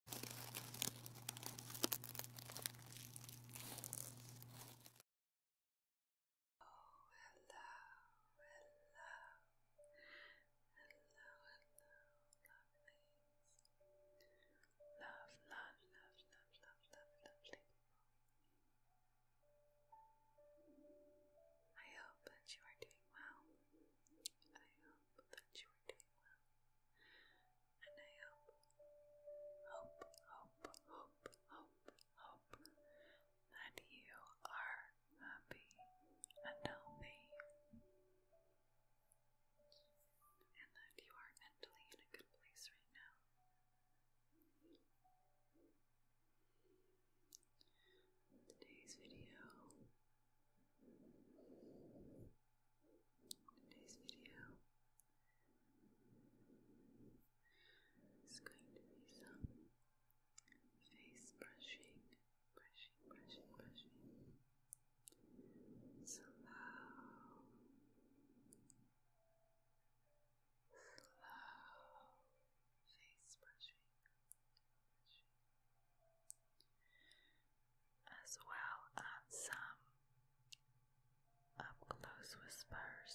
Love, love, love, love, love, love, lovely I hope that you are doing well. I hope that you are doing and I hope, hope, hope, hope, hope, hope that you are happy and healthy. And that you are mentally in a good place right now. Today's video Today's video is going to be some face brushing, brushing, brushing, brushing. Slow, slow face brushing as well as some up close whispers.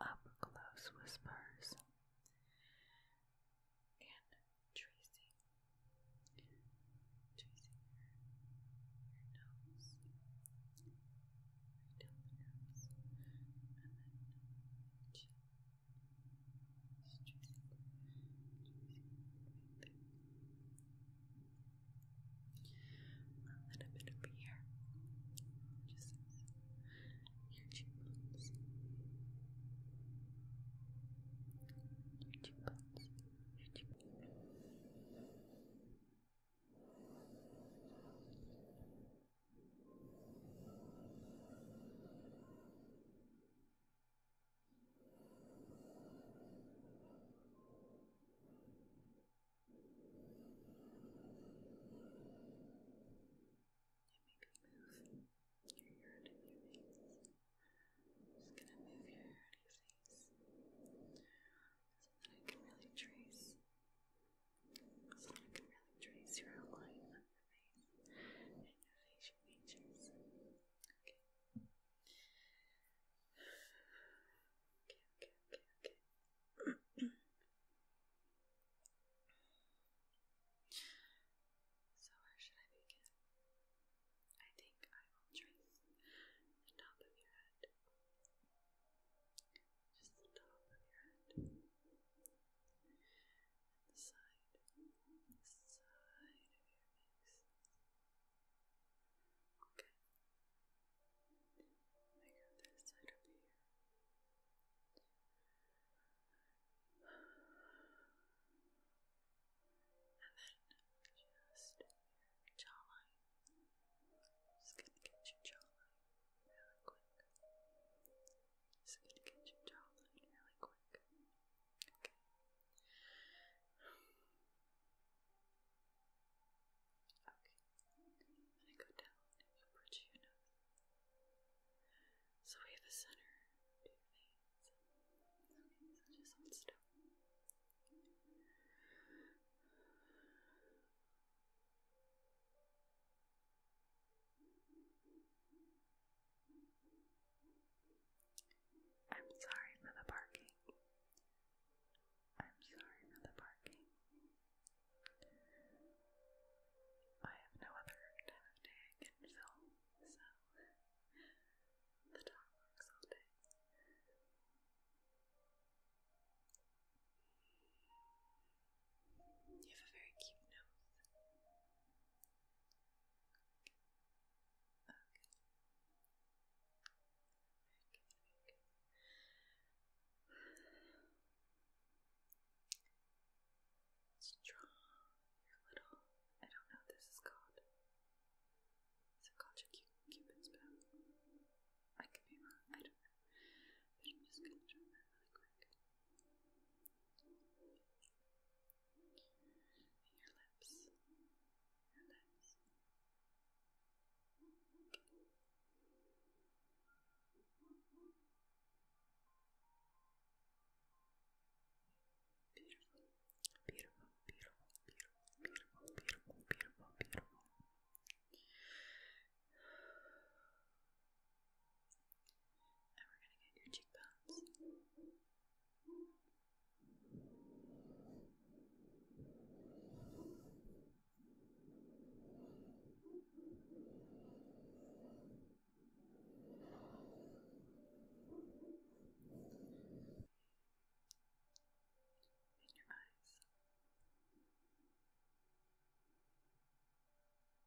Up close whispers and tracing, tracing your nose, down the nose, and then Stressing, stressing a little bit up here, just your cheekbones, your cheekbones, your cheekbones move your hair out of your face. I'm just gonna move your hair out of your face so that I can really trace so that I can really trace your outline face and so where should I begin? I think I will trace the top of your head. Just the top of your head the side, the side of your face. Okay. Make other side up here. And then just jawline. just gonna get your jawline really quick. So to get your childhood really quick. Okay. Okay. I'm gonna go down and you your nose. So we have a center to your veins. Okay, so just hold still. I'm sorry for the barking. I'm sorry for the barking. I have no other day I can film, so the dog works all day. You have a very cute nose. Okay. Very good, very Let's draw your little, I don't know this is called. Is called your cu cupid's bow? I could be wrong, I don't know. But I'm just gonna draw that really quick and your lips, your lips. beautiful, beautiful, beautiful, beautiful, beautiful, beautiful, beautiful. And we're going to get your cheekbones. In your eyes.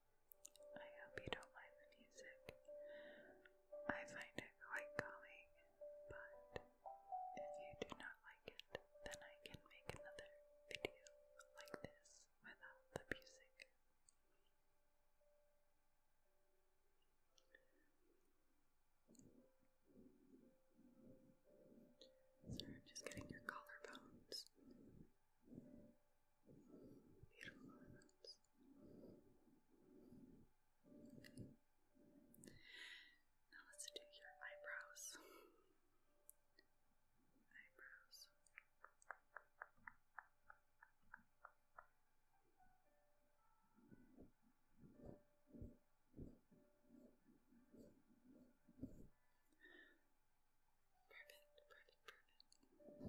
I hope you don't mind the music. I find it quite calming, but if you do not like it, then I can make another video like this without the music. So I'm just getting your collarbones. Beautiful. Now let's do your eyebrows. Eyebrows. Perfect, perfect, perfect.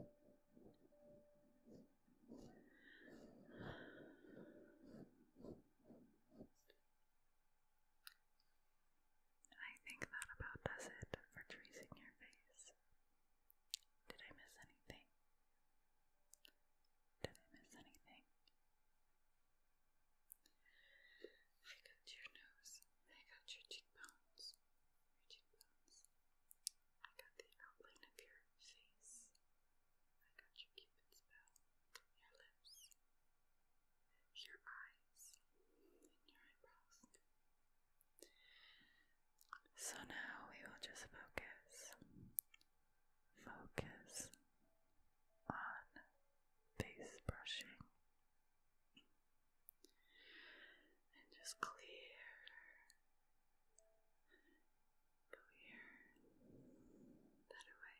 I think that about does it for tracing your face. Did I miss anything? Did I miss anything? I got your nose. I got Your cheekbones. I got the outline of your face. I got your cupid's bow, your lips, your eyes, and your eyebrows. So now we will just focus, focus on face brushing and just clear, clear that away.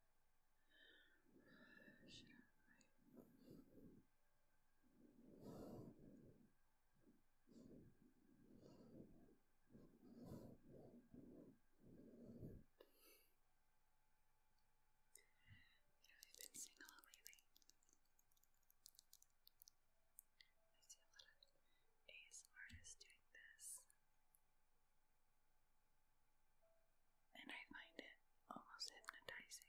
Should I You have been seeing a lot lately. I see a lot of AS artists doing this and I find it almost hypnotizing.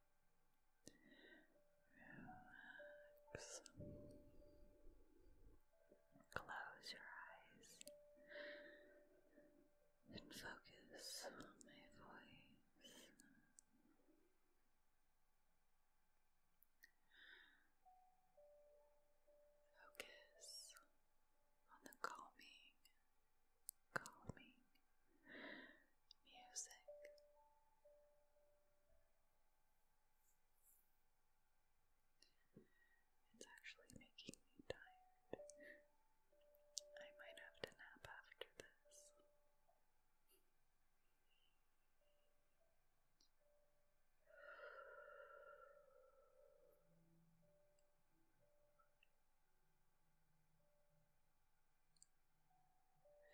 Relax. Close your eyes and focus on my voice. Focus on the calming, calming music. It's actually making me tired. I might have to nap after this.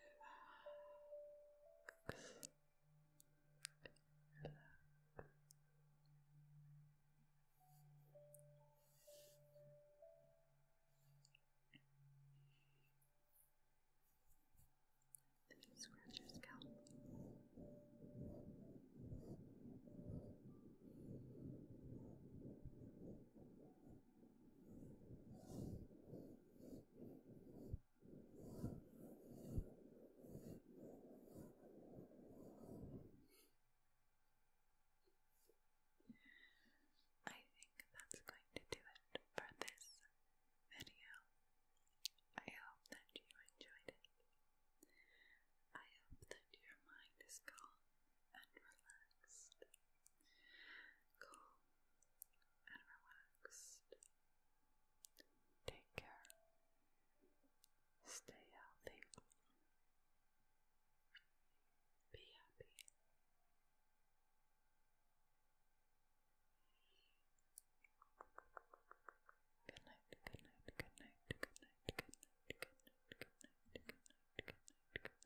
Relax. Relax. Scratch your scalp. Relax. I think that's going to do it for this video. I hope that you enjoyed it. I hope that your mind is calm and relaxed calm and relaxed. Take care. Stay healthy. Be happy. Good night, good night, good night, good night, good night, good night, good night, good night, good night, good night.